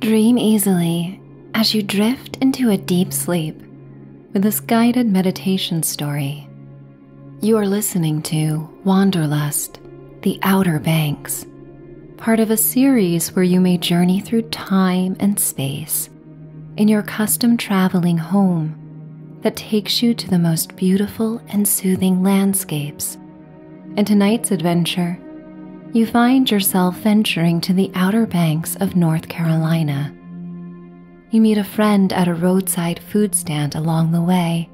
Dream easily as you drift into a deep sleep with this guided meditation story. You are listening to Wanderlust, The Outer Banks, part of a series where you may journey through time and space in your custom traveling home that takes you to the most beautiful and soothing landscapes in tonight's adventure, you find yourself venturing to the outer banks of North Carolina. You meet a friend at a roadside food stand along the way,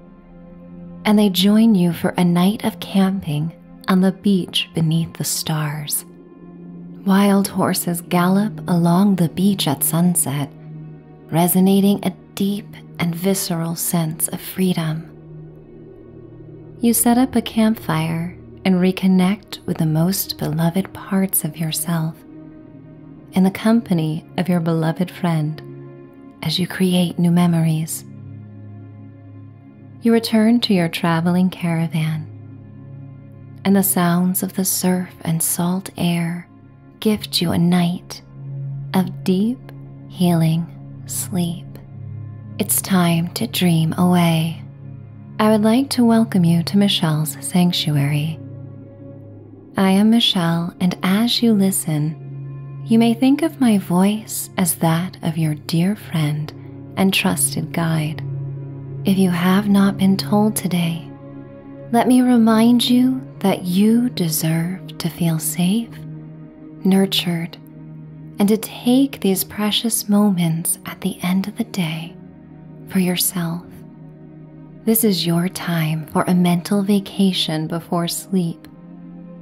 and they join you for a night of camping on the beach beneath the stars. Wild horses gallop along the beach at sunset, resonating a deep and visceral sense of freedom. You set up a campfire and reconnect with the most beloved parts of yourself in the company of your beloved friend as you create new memories. You return to your traveling caravan, and the sounds of the surf and salt air gift you a night of deep healing sleep. It's time to dream away. I would like to welcome you to Michelle's Sanctuary. I am Michelle, and as you listen, you may think of my voice as that of your dear friend and trusted guide. If you have not been told today, let me remind you that you deserve to feel safe nurtured, and to take these precious moments at the end of the day for yourself. This is your time for a mental vacation before sleep,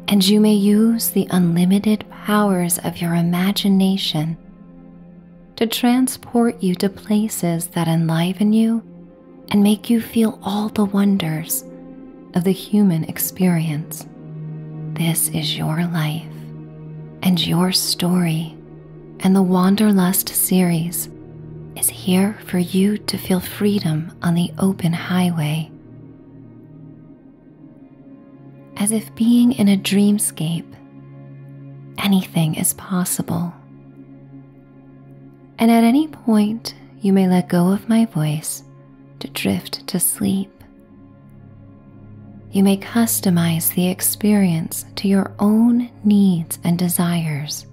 and you may use the unlimited powers of your imagination to transport you to places that enliven you and make you feel all the wonders of the human experience. This is your life and your story, and the Wanderlust series is here for you to feel freedom on the open highway. As if being in a dreamscape, anything is possible. And at any point, you may let go of my voice to drift to sleep. You may customize the experience to your own needs and desires.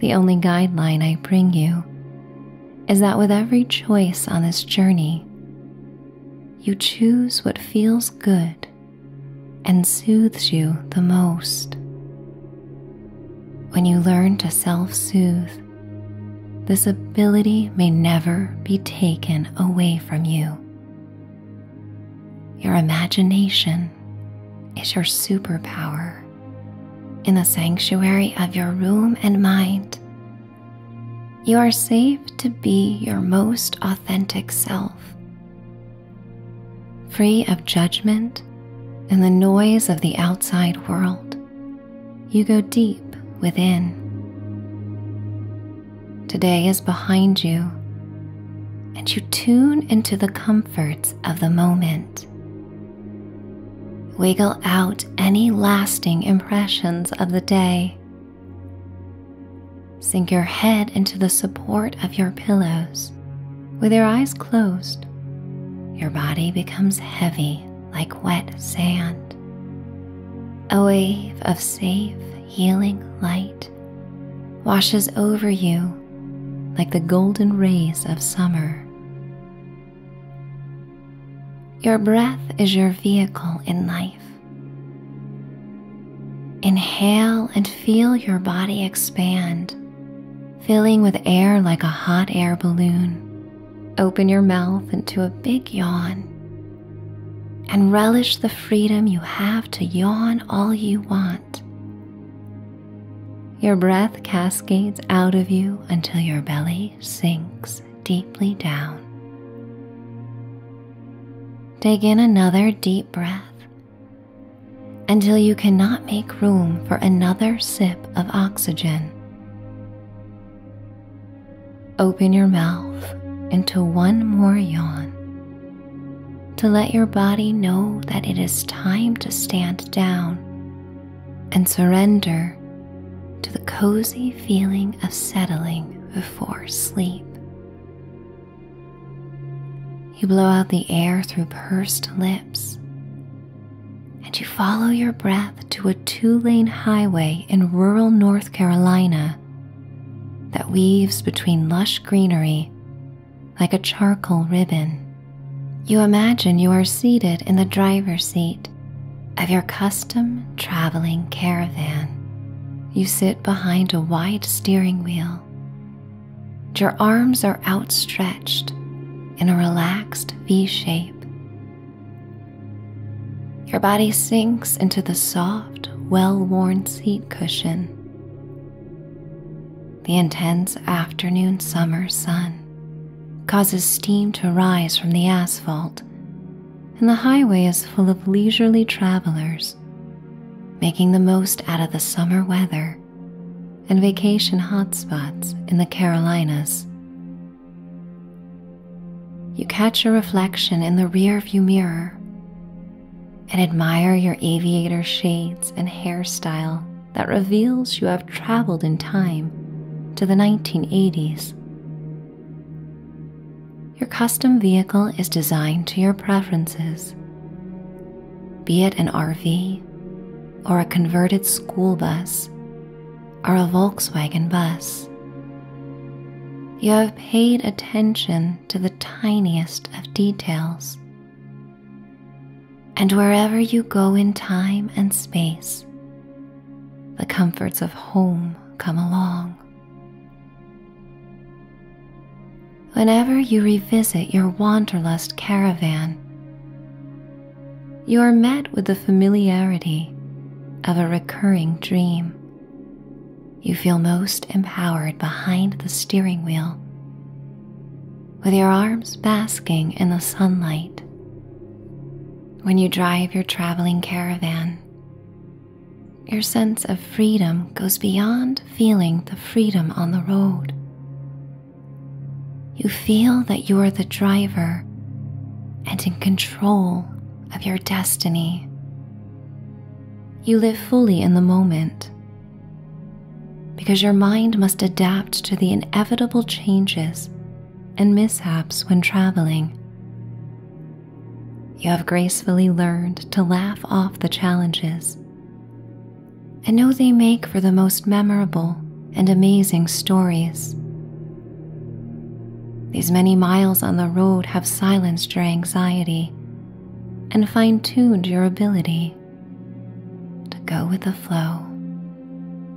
The only guideline I bring you is that with every choice on this journey, you choose what feels good and soothes you the most. When you learn to self soothe, this ability may never be taken away from you. Your imagination is your superpower. In the sanctuary of your room and mind, you are safe to be your most authentic self. Free of judgment and the noise of the outside world, you go deep within. Today is behind you, and you tune into the comforts of the moment. Wiggle out any lasting impressions of the day. Sink your head into the support of your pillows. With your eyes closed, your body becomes heavy like wet sand, a wave of safe, healing light washes over you like the golden rays of summer. Your breath is your vehicle in life. Inhale and feel your body expand, filling with air like a hot air balloon. Open your mouth into a big yawn and relish the freedom you have to yawn all you want. Your breath cascades out of you until your belly sinks deeply down. Take in another deep breath until you cannot make room for another sip of oxygen. Open your mouth into one more yawn to let your body know that it is time to stand down and surrender to the cozy feeling of settling before sleep. You blow out the air through pursed lips and you follow your breath to a two lane highway in rural North Carolina that weaves between lush greenery like a charcoal ribbon. You imagine you are seated in the driver's seat of your custom traveling caravan. You sit behind a wide steering wheel. Your arms are outstretched in a relaxed V shape your body sinks into the soft, well worn seat cushion. The intense afternoon summer sun causes steam to rise from the asphalt, and the highway is full of leisurely travelers, making the most out of the summer weather and vacation hotspots in the Carolinas you catch a reflection in the rearview mirror and admire your aviator shades and hairstyle that reveals you have traveled in time to the 1980s. Your custom vehicle is designed to your preferences, be it an RV or a converted school bus or a Volkswagen bus. You have paid attention to the tiniest of details. And wherever you go in time and space, the comforts of home come along. Whenever you revisit your wanderlust caravan, you are met with the familiarity of a recurring dream. You feel most empowered behind the steering wheel, with your arms basking in the sunlight. When you drive your traveling caravan, your sense of freedom goes beyond feeling the freedom on the road. You feel that you are the driver and in control of your destiny. You live fully in the moment because your mind must adapt to the inevitable changes and mishaps when traveling. You have gracefully learned to laugh off the challenges and know they make for the most memorable and amazing stories. These many miles on the road have silenced your anxiety and fine tuned your ability to go with the flow.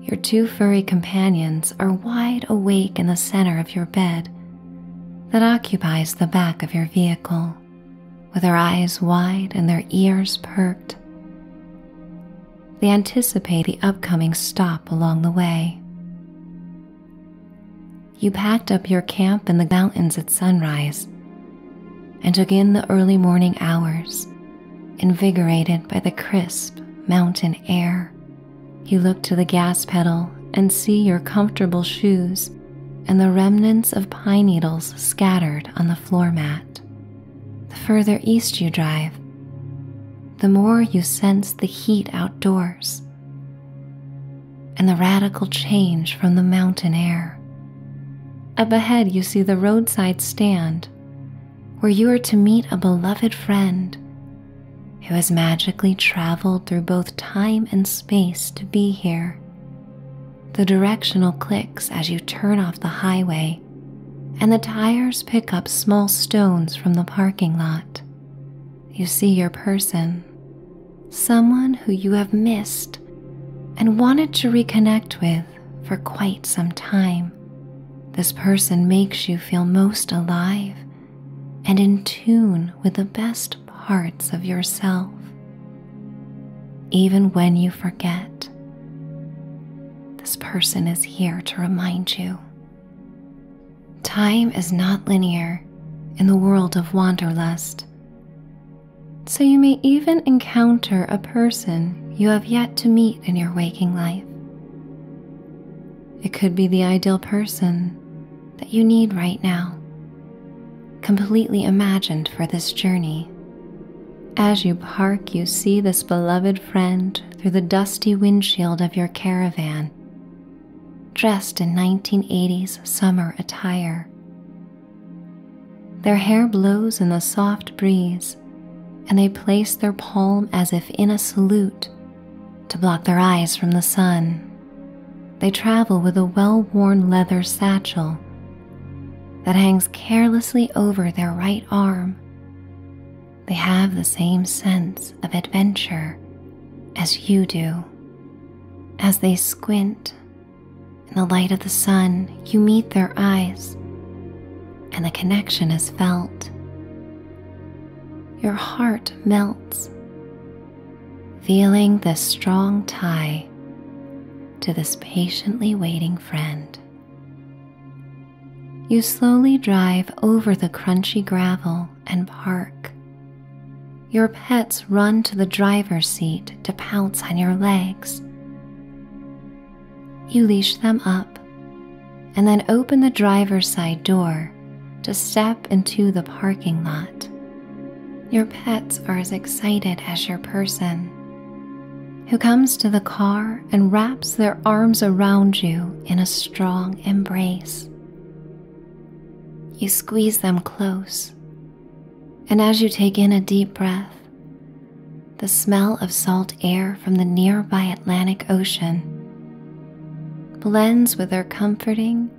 Your two furry companions are wide awake in the center of your bed that occupies the back of your vehicle, with their eyes wide and their ears perked. They anticipate the upcoming stop along the way. You packed up your camp in the mountains at sunrise and took in the early morning hours, invigorated by the crisp mountain air. You look to the gas pedal and see your comfortable shoes and the remnants of pine needles scattered on the floor mat. The further east you drive, the more you sense the heat outdoors and the radical change from the mountain air. Up ahead, you see the roadside stand where you are to meet a beloved friend who has magically traveled through both time and space to be here. The directional clicks as you turn off the highway and the tires pick up small stones from the parking lot. You see your person, someone who you have missed and wanted to reconnect with for quite some time. This person makes you feel most alive and in tune with the best parts of yourself. Even when you forget, this person is here to remind you. Time is not linear in the world of wanderlust, so you may even encounter a person you have yet to meet in your waking life. It could be the ideal person that you need right now, completely imagined for this journey. As you park, you see this beloved friend through the dusty windshield of your caravan, dressed in 1980s summer attire. Their hair blows in the soft breeze, and they place their palm as if in a salute to block their eyes from the sun. They travel with a well worn leather satchel that hangs carelessly over their right arm they have the same sense of adventure as you do. As they squint in the light of the sun, you meet their eyes, and the connection is felt. Your heart melts, feeling the strong tie to this patiently waiting friend. You slowly drive over the crunchy gravel and park. Your pets run to the driver's seat to pounce on your legs. You leash them up and then open the driver's side door to step into the parking lot. Your pets are as excited as your person who comes to the car and wraps their arms around you in a strong embrace. You squeeze them close, and as you take in a deep breath, the smell of salt air from the nearby Atlantic Ocean blends with their comforting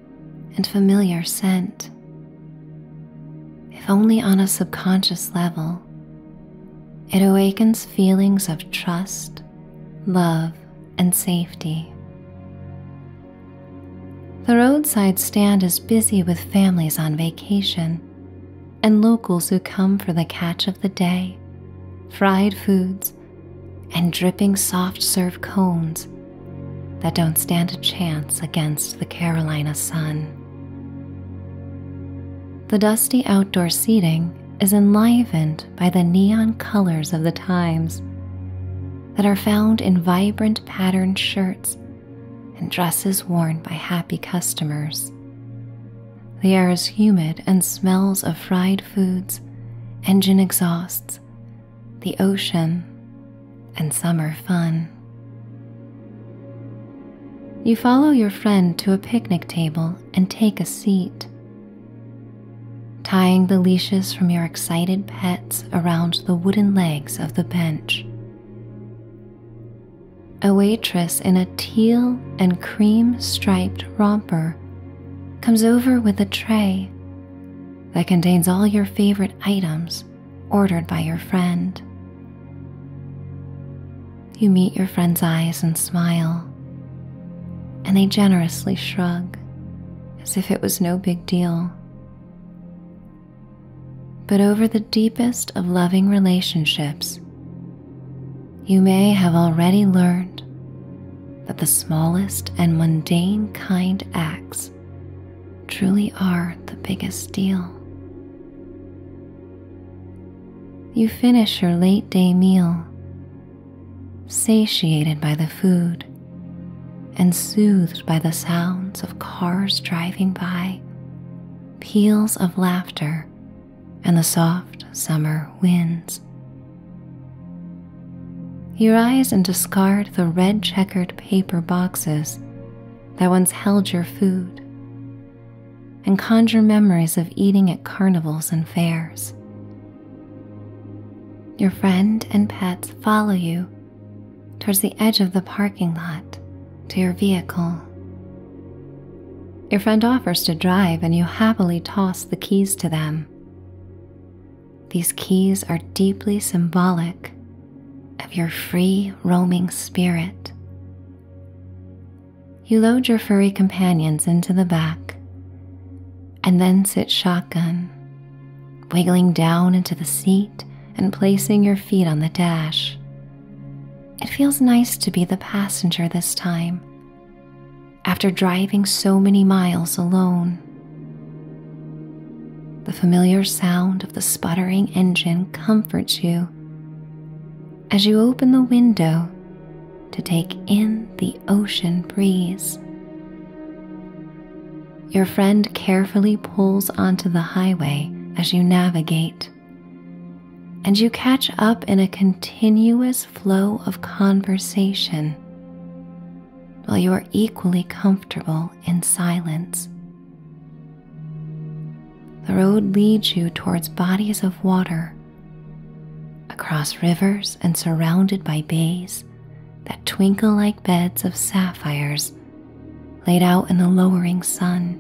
and familiar scent. If only on a subconscious level, it awakens feelings of trust, love, and safety. The roadside stand is busy with families on vacation and locals who come for the catch of the day, fried foods, and dripping soft serve cones that don't stand a chance against the Carolina sun. The dusty outdoor seating is enlivened by the neon colors of the times that are found in vibrant patterned shirts and dresses worn by happy customers. The air is humid and smells of fried foods, engine exhausts, the ocean, and summer fun. You follow your friend to a picnic table and take a seat. Tying the leashes from your excited pets around the wooden legs of the bench. A waitress in a teal and cream striped romper comes over with a tray that contains all your favorite items ordered by your friend. You meet your friend's eyes and smile, and they generously shrug as if it was no big deal. But over the deepest of loving relationships, you may have already learned that the smallest and mundane kind acts truly are the biggest deal. You finish your late day meal, satiated by the food and soothed by the sounds of cars driving by, peals of laughter, and the soft summer winds. You rise and discard the red checkered paper boxes that once held your food and conjure memories of eating at carnivals and fairs. Your friend and pets follow you towards the edge of the parking lot to your vehicle. Your friend offers to drive, and you happily toss the keys to them. These keys are deeply symbolic of your free roaming spirit you load your furry companions into the back and then sit shotgun, wiggling down into the seat and placing your feet on the dash. It feels nice to be the passenger this time after driving so many miles alone. The familiar sound of the sputtering engine comforts you as you open the window to take in the ocean breeze. Your friend carefully pulls onto the highway as you navigate, and you catch up in a continuous flow of conversation while you are equally comfortable in silence the road leads you towards bodies of water, across rivers and surrounded by bays that twinkle like beds of sapphires laid out in the lowering sun.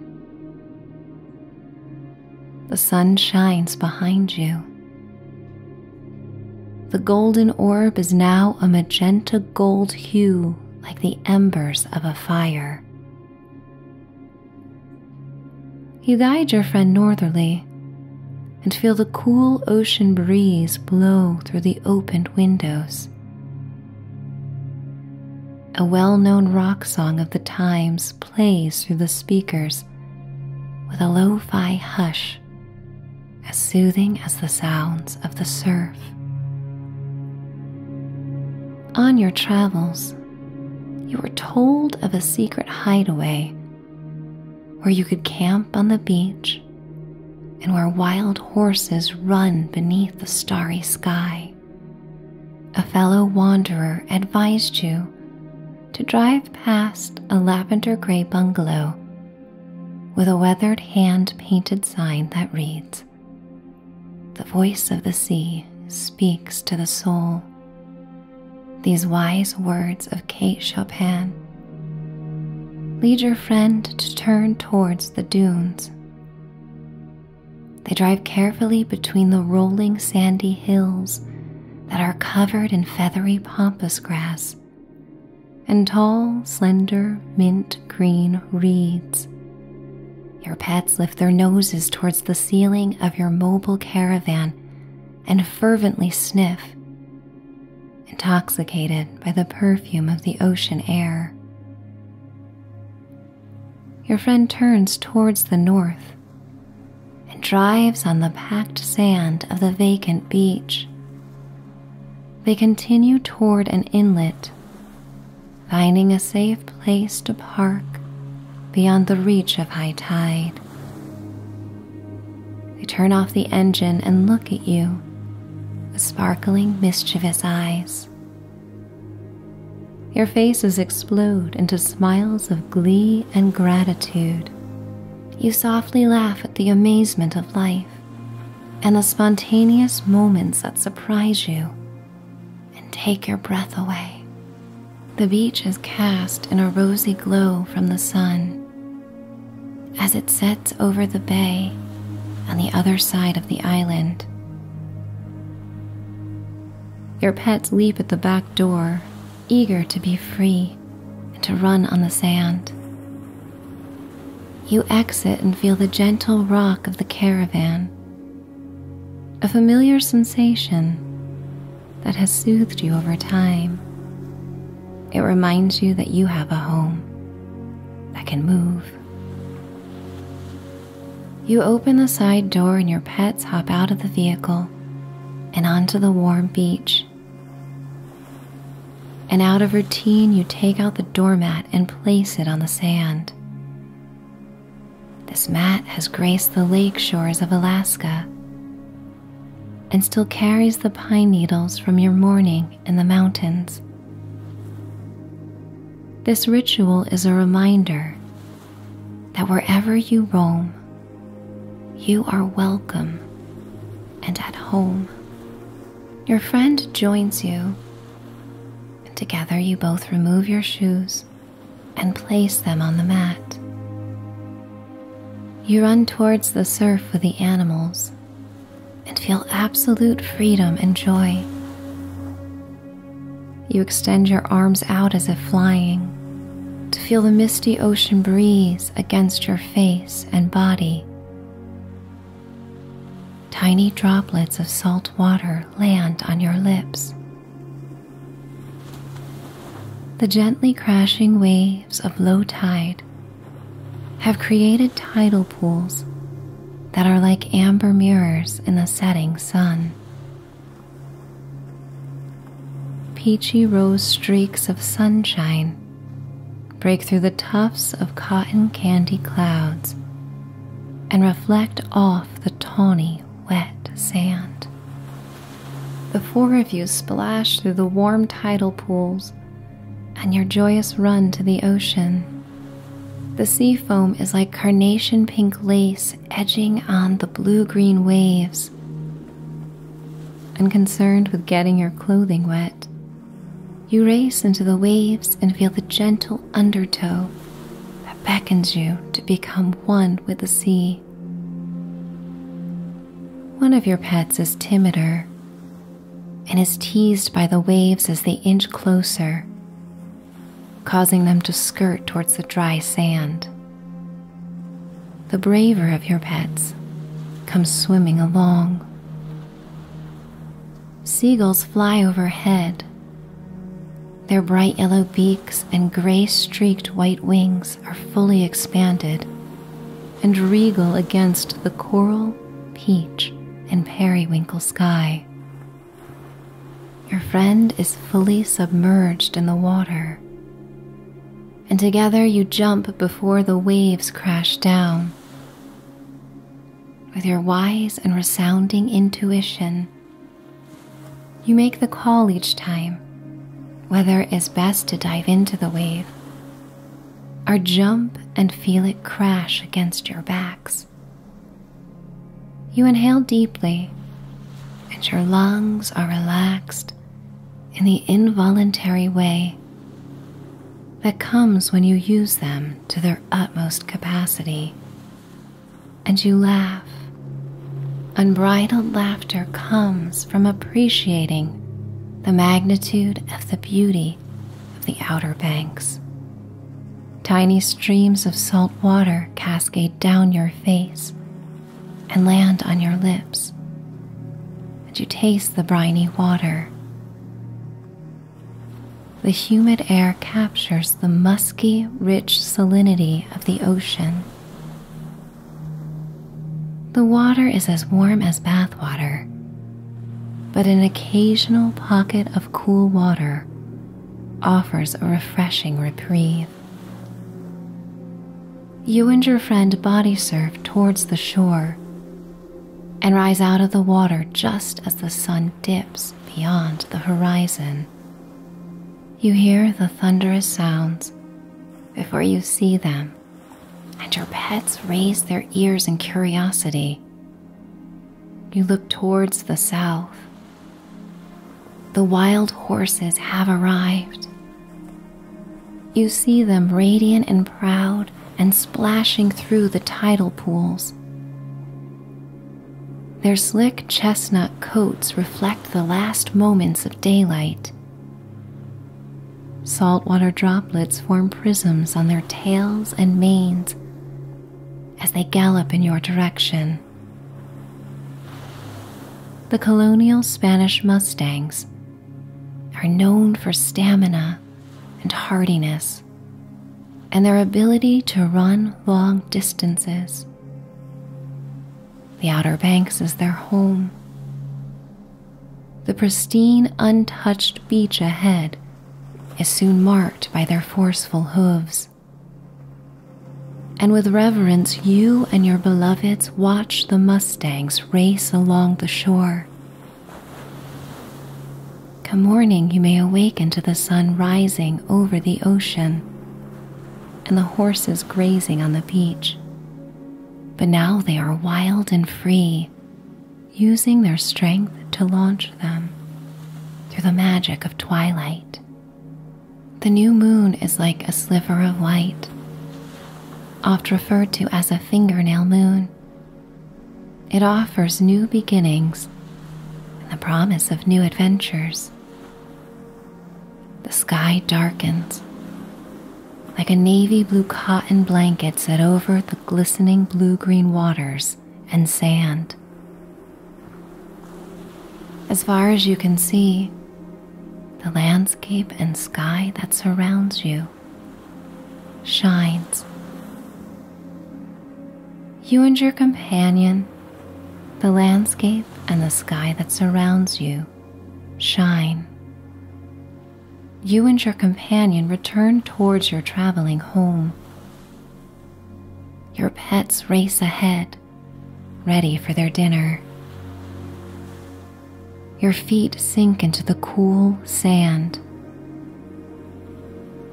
The sun shines behind you. The golden orb is now a magenta gold hue like the embers of a fire. You guide your friend northerly and feel the cool ocean breeze blow through the opened windows. A well known rock song of the times plays through the speakers with a lo fi hush as soothing as the sounds of the surf. On your travels, you were told of a secret hideaway where you could camp on the beach and where wild horses run beneath the starry sky. A fellow wanderer advised you to drive past a lavender gray bungalow with a weathered hand painted sign that reads, the voice of the sea speaks to the soul. These wise words of Kate Chopin lead your friend to turn towards the dunes. They drive carefully between the rolling sandy hills that are covered in feathery pampas grass and tall, slender, mint green reeds your pets lift their noses towards the ceiling of your mobile caravan and fervently sniff, intoxicated by the perfume of the ocean air. Your friend turns towards the north and drives on the packed sand of the vacant beach. They continue toward an inlet finding a safe place to park beyond the reach of high tide. They turn off the engine and look at you with sparkling, mischievous eyes. Your faces explode into smiles of glee and gratitude. You softly laugh at the amazement of life and the spontaneous moments that surprise you and take your breath away. The beach is cast in a rosy glow from the sun as it sets over the bay on the other side of the island. Your pets leap at the back door, eager to be free and to run on the sand. You exit and feel the gentle rock of the caravan a familiar sensation that has soothed you over time. It reminds you that you have a home that can move. You open the side door and your pets hop out of the vehicle and onto the warm beach. And out of routine, you take out the doormat and place it on the sand. This mat has graced the lake shores of Alaska and still carries the pine needles from your morning in the mountains. This ritual is a reminder that wherever you roam, you are welcome and at home. Your friend joins you, and together you both remove your shoes and place them on the mat. You run towards the surf with the animals and feel absolute freedom and joy. You extend your arms out as if flying to feel the misty ocean breeze against your face and body. Tiny droplets of salt water land on your lips the gently crashing waves of low tide have created tidal pools that are like amber mirrors in the setting sun. Peachy rose streaks of sunshine break through the tufts of cotton candy clouds and reflect off the tawny wet sand. The four of you splash through the warm tidal pools and your joyous run to the ocean. The sea foam is like carnation pink lace edging on the blue green waves. Unconcerned with getting your clothing wet, you race into the waves and feel the gentle undertow that beckons you to become one with the sea. One of your pets is timider and is teased by the waves as they inch closer, causing them to skirt towards the dry sand. The braver of your pets comes swimming along. Seagulls fly overhead their bright yellow beaks and gray streaked white wings are fully expanded and regal against the coral, peach, and periwinkle sky. Your friend is fully submerged in the water, and together you jump before the waves crash down. With your wise and resounding intuition, you make the call each time whether it is best to dive into the wave or jump and feel it crash against your backs. You inhale deeply, and your lungs are relaxed in the involuntary way that comes when you use them to their utmost capacity and you laugh. Unbridled laughter comes from appreciating the magnitude of the beauty of the outer banks. Tiny streams of salt water cascade down your face and land on your lips, and you taste the briny water the humid air captures the musky, rich salinity of the ocean. The water is as warm as bathwater, but an occasional pocket of cool water offers a refreshing reprieve. You and your friend body surf towards the shore and rise out of the water just as the sun dips beyond the horizon. You hear the thunderous sounds before you see them, and your pets raise their ears in curiosity. You look towards the south. The wild horses have arrived. You see them radiant and proud and splashing through the tidal pools. Their slick chestnut coats reflect the last moments of daylight. Saltwater droplets form prisms on their tails and manes as they gallop in your direction. The colonial Spanish Mustangs are known for stamina and hardiness and their ability to run long distances. The Outer Banks is their home. The pristine, untouched beach ahead is soon marked by their forceful hooves. And with reverence, you and your beloveds watch the Mustangs race along the shore. Come morning, you may awaken to the sun rising over the ocean and the horses grazing on the beach. But now they are wild and free, using their strength to launch them through the magic of twilight. The new moon is like a sliver of light, oft referred to as a fingernail moon. It offers new beginnings and the promise of new adventures. The sky darkens like a navy blue cotton blanket set over the glistening blue green waters and sand. As far as you can see, the landscape and sky that surrounds you shines you and your companion, the landscape and the sky that surrounds you shine. You and your companion return towards your traveling home. Your pets race ahead, ready for their dinner. Your feet sink into the cool sand.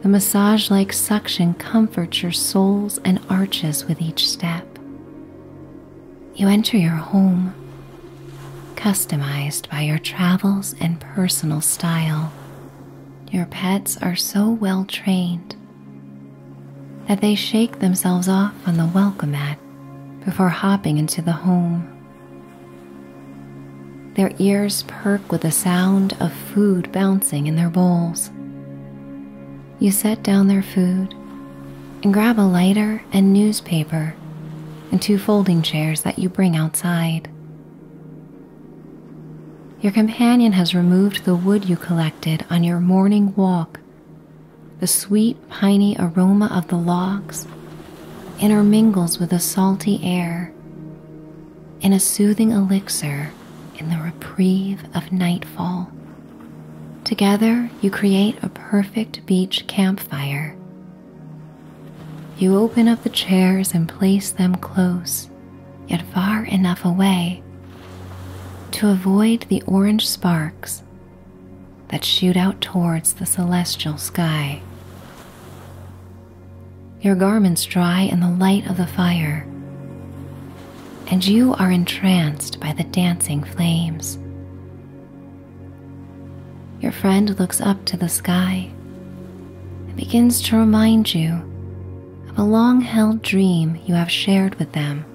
The massage like suction comforts your soles and arches with each step. You enter your home, customized by your travels and personal style. Your pets are so well trained that they shake themselves off on the welcome mat before hopping into the home. Their ears perk with the sound of food bouncing in their bowls, you set down their food and grab a lighter and newspaper and two folding chairs that you bring outside. Your companion has removed the wood you collected on your morning walk, the sweet, piney aroma of the logs intermingles with the salty air in a soothing elixir in the reprieve of nightfall. Together, you create a perfect beach campfire. You open up the chairs and place them close, yet far enough away to avoid the orange sparks that shoot out towards the celestial sky your garments dry in the light of the fire, and you are entranced by the dancing flames. Your friend looks up to the sky and begins to remind you of a long held dream you have shared with them.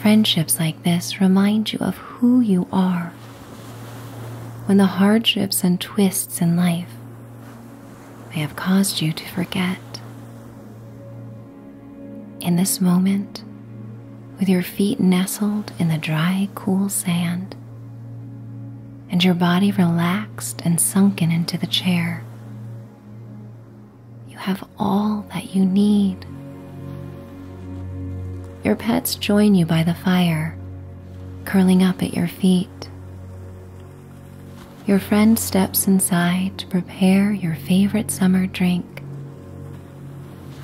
Friendships like this remind you of who you are when the hardships and twists in life may have caused you to forget. In this moment, with your feet nestled in the dry, cool sand, and your body relaxed and sunken into the chair, you have all that you need. Your pets join you by the fire, curling up at your feet your friend steps inside to prepare your favorite summer drink.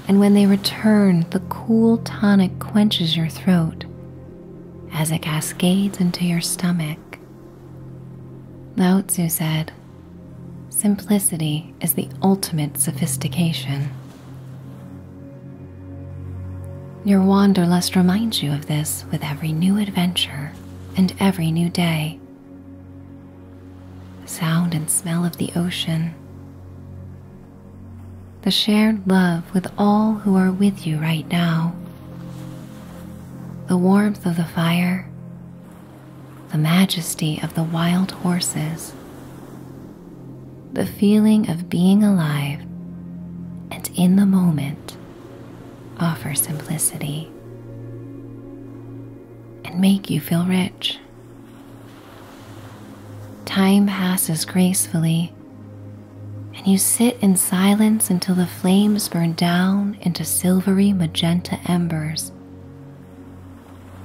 And when they return, the cool tonic quenches your throat as it cascades into your stomach. Lao Tzu said, Simplicity is the ultimate sophistication. Your wanderlust reminds you of this with every new adventure and every new day. The sound and smell of the ocean. The shared love with all who are with you right now. The warmth of the fire. The majesty of the wild horses. The feeling of being alive and in the moment offer simplicity, and make you feel rich. Time passes gracefully, and you sit in silence until the flames burn down into silvery magenta embers.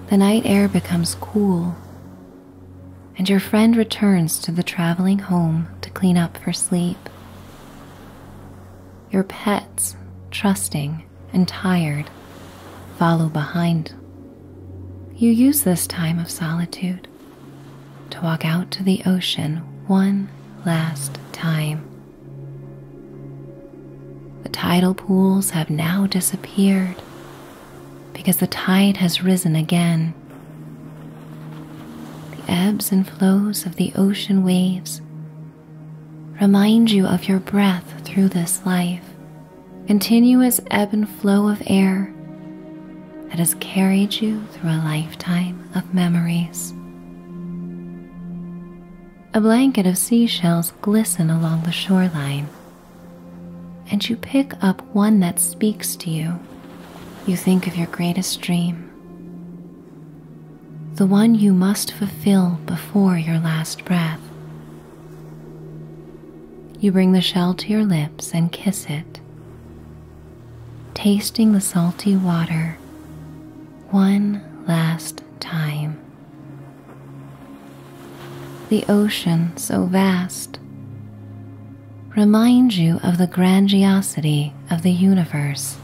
The night air becomes cool, and your friend returns to the traveling home to clean up for sleep. Your pets, trusting and tired, follow behind. You use this time of solitude to walk out to the ocean one last time. The tidal pools have now disappeared because the tide has risen again the ebbs and flows of the ocean waves remind you of your breath through this life, continuous ebb and flow of air that has carried you through a lifetime of memories. A blanket of seashells glisten along the shoreline, and you pick up one that speaks to you. You think of your greatest dream, the one you must fulfill before your last breath. You bring the shell to your lips and kiss it, tasting the salty water one last time. The ocean so vast, Reminds you of the grandiosity of the universe.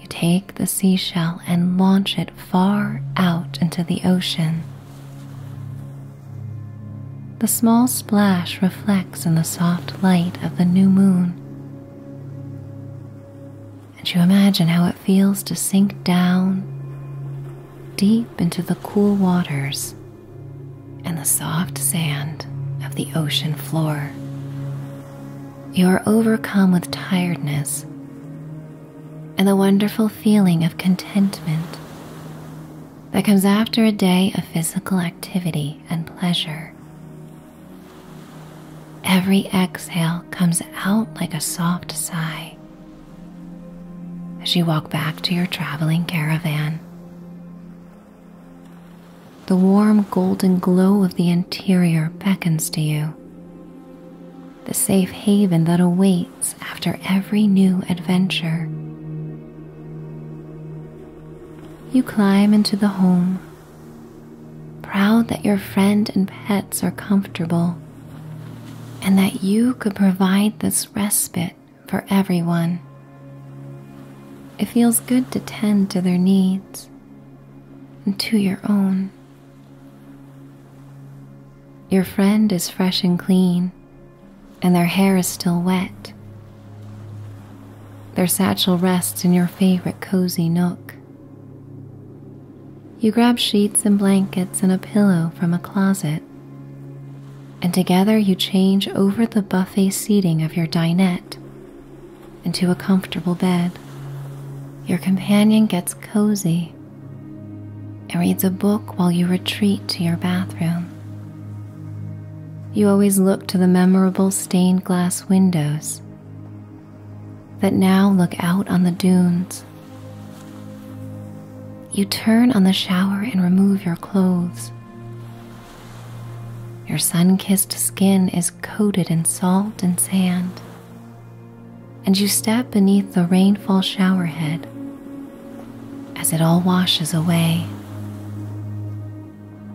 You take the seashell and launch it far out into the ocean. The small splash reflects in the soft light of the new moon. And you imagine how it feels to sink down deep into the cool waters and the soft sand of the ocean floor. You are overcome with tiredness and the wonderful feeling of contentment that comes after a day of physical activity and pleasure. Every exhale comes out like a soft sigh as you walk back to your traveling caravan the warm golden glow of the interior beckons to you. The safe haven that awaits after every new adventure. You climb into the home, proud that your friend and pets are comfortable and that you could provide this respite for everyone. It feels good to tend to their needs and to your own. Your friend is fresh and clean, and their hair is still wet. Their satchel rests in your favorite cozy nook. You grab sheets and blankets and a pillow from a closet and together you change over the buffet seating of your dinette into a comfortable bed. Your companion gets cozy and reads a book while you retreat to your bathroom. You always look to the memorable stained glass windows that now look out on the dunes. You turn on the shower and remove your clothes. Your sun kissed skin is coated in salt and sand, and you step beneath the rainfall showerhead as it all washes away.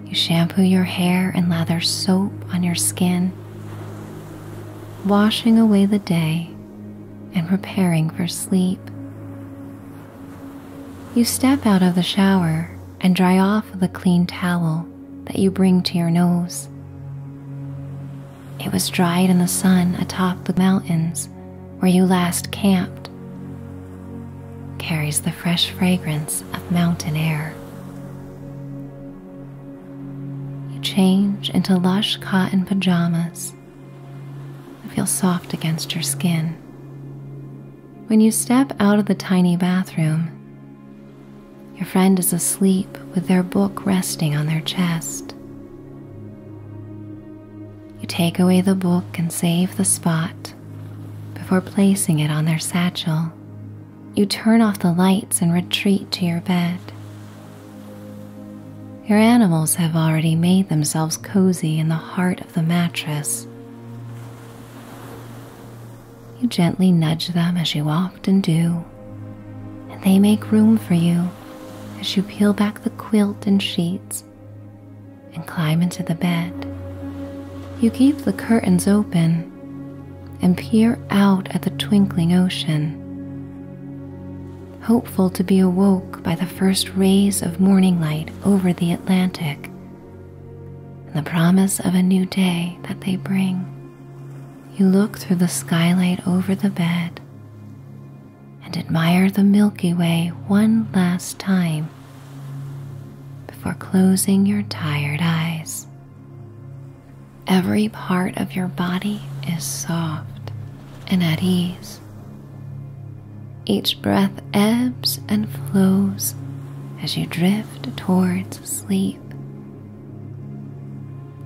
You shampoo your hair and lather soap on your skin, washing away the day and preparing for sleep. You step out of the shower and dry off with a clean towel that you bring to your nose. It was dried in the sun atop the mountains where you last camped. Carries the fresh fragrance of mountain air. You change into lush cotton pajamas that feel soft against your skin. When you step out of the tiny bathroom, your friend is asleep with their book resting on their chest. You take away the book and save the spot before placing it on their satchel. You turn off the lights and retreat to your bed. Your animals have already made themselves cozy in the heart of the mattress you gently nudge them as you often do, and they make room for you as you peel back the quilt and sheets and climb into the bed. You keep the curtains open and peer out at the twinkling ocean, hopeful to be awoke by the first rays of morning light over the Atlantic and the promise of a new day that they bring. You look through the skylight over the bed and admire the Milky Way one last time before closing your tired eyes. Every part of your body is soft and at ease. Each breath ebbs and flows as you drift towards sleep.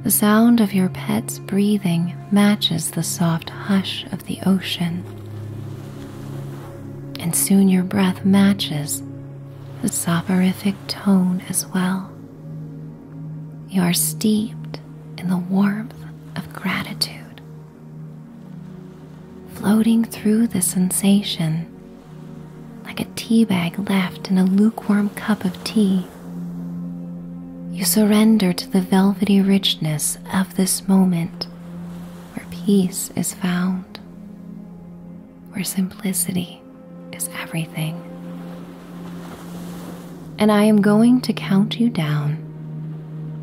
The sound of your pet's breathing matches the soft hush of the ocean, and soon your breath matches the soporific tone as well. You are steeped in the warmth of gratitude floating through the sensation like a tea bag left in a lukewarm cup of tea. You surrender to the velvety richness of this moment where peace is found, where simplicity is everything. And I am going to count you down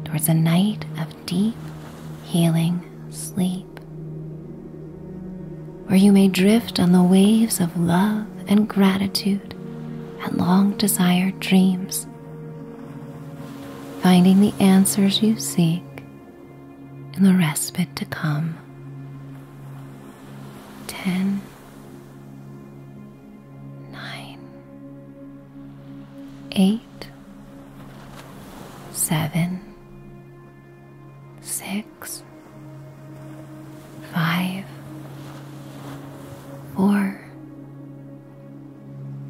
towards a night of deep, healing sleep, where you may drift on the waves of love and gratitude and long desired dreams, finding the answers you seek in the respite to come. 10. eight, eight, seven, six, five, four,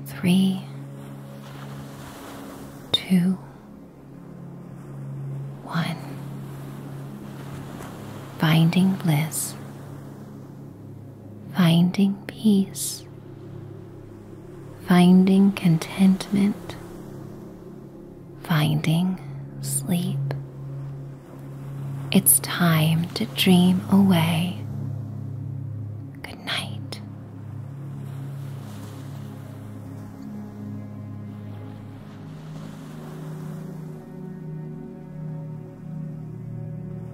three, two, one. Finding bliss finding peace, finding contentment, finding sleep. It's time to dream away. Good night.